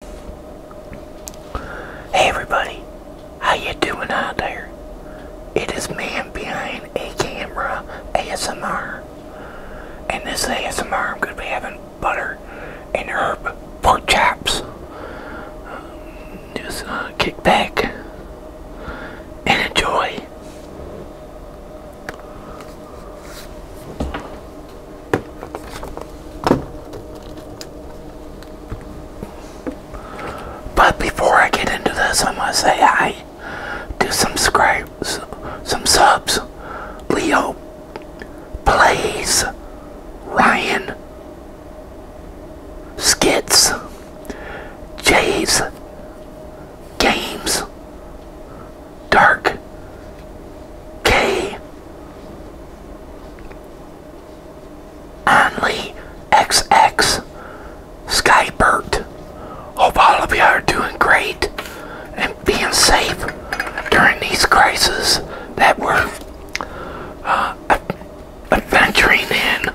Hey everybody, how you doing out there? It is man behind a camera ASMR. And this ASMR I'm going to be having butter and herb pork chops. just uh, kick back and enjoy. But before I get into this, I must say I do some subscribes, some subs. Leo please. Ryan Skits Jay's Games Dark K. Only XX Skybert. Hope all of you are doing great and being safe during these crises that we're uh, adventuring in.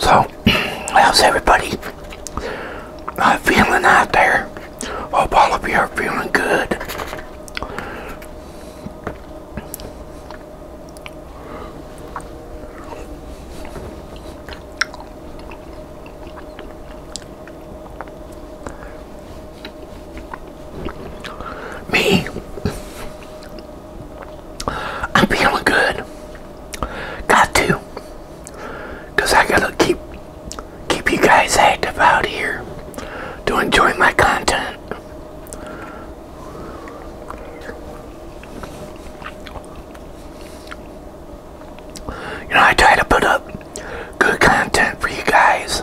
So, how's everybody feeling out there? Hope all of you are feeling good. Me, I'm feeling good. Got to, I gotta keep keep you guys active out here to enjoy my content. You know, I try to put up good content for you guys.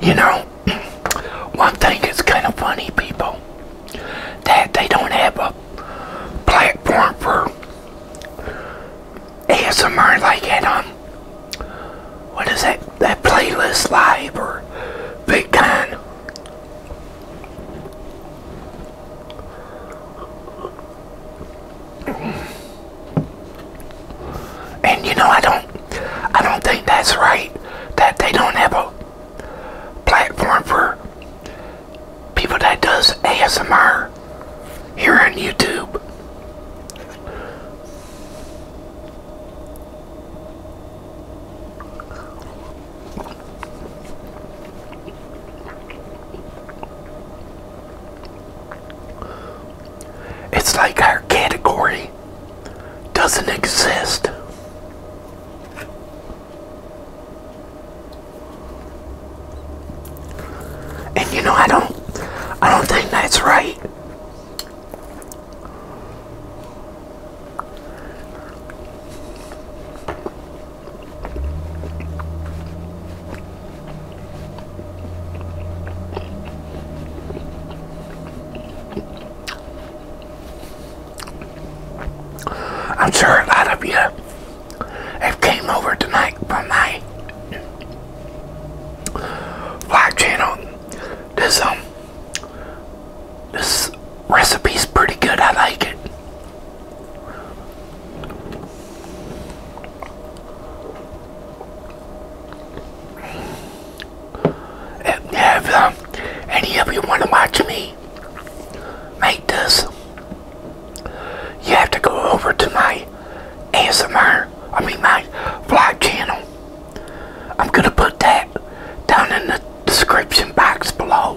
You know, one thing is kind of funny, people, that they don't have a platform for ASMR like at on um, what is that? That playlist live or Big VidCon. And you know, I don't, I don't think that's right that they don't have a platform for people that does ASMR here on YouTube. It's like our category doesn't exist. And you know I don't I don't think that's right. I'm sure a lot of you have came over tonight from my vlog channel. This um this recipe's pretty good. I like it. If any of you want to watch me make this, you have to go over to my ASMR, I mean my vlog channel. I'm going to put that down in the description box below.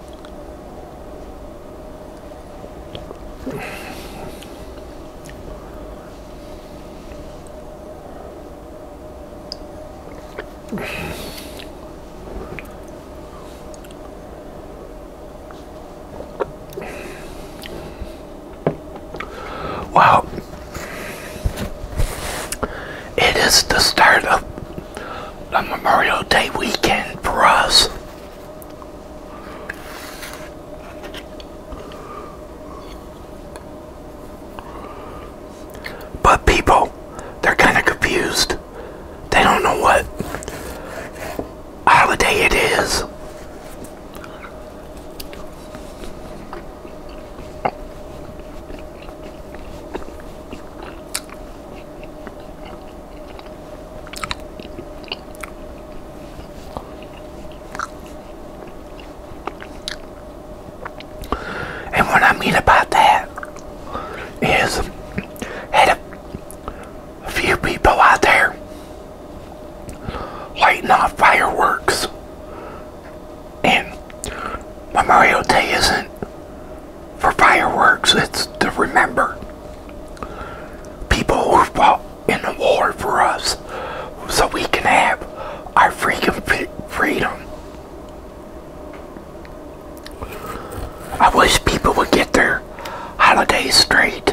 Wow. It is the start of a Memorial Day weekend for us. But people, they're kind of confused. They don't know what holiday it is. And what I mean about that is, had a few people out there lighting off fireworks, and Memorial Day isn't for fireworks it's to remember people who fought in the war for us so we can have our freaking freedom. I wish people would get their holidays straight.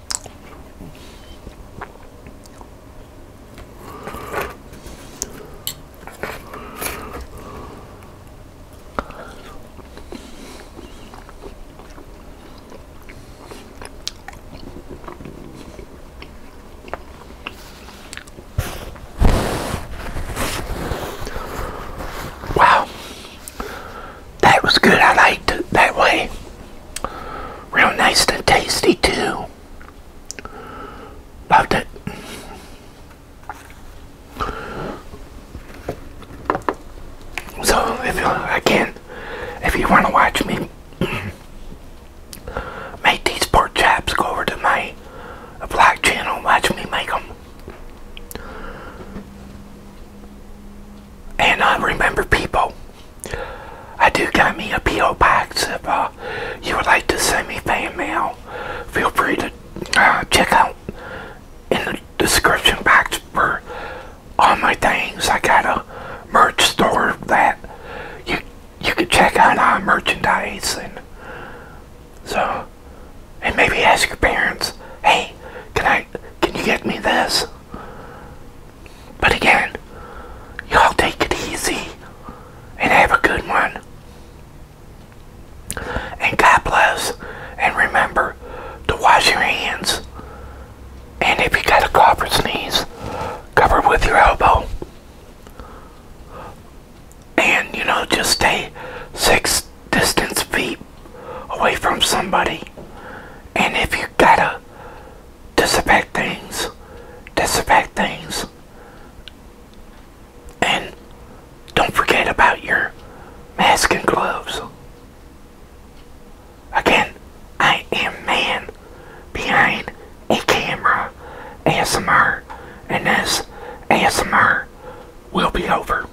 Wow, that was good. I liked it that way. Real nice and tasty too. Loved it. So if you again, if you want to watch me make these pork chops, go over to my black channel. Watch me make them. And I uh, remember, people. I do got me a P.O. box if uh, you would like to send me fan mail. Feel free to uh, check out in the description box for all my things. I got a merch store that you you can check out on merchandise and so and maybe ask your parents, hey, can I can you get me this? But again, y'all take it easy and have a good one. And God bless. And remember to wash your hands. And if you got to cough or sneeze, cover with your elbow. And, you know, just stay six distance feet away from somebody. And if you got to disinfect things, disinfect things, and don't forget about your mask and gloves. Again, I am man behind a camera ASMR, and this ASMR will be over.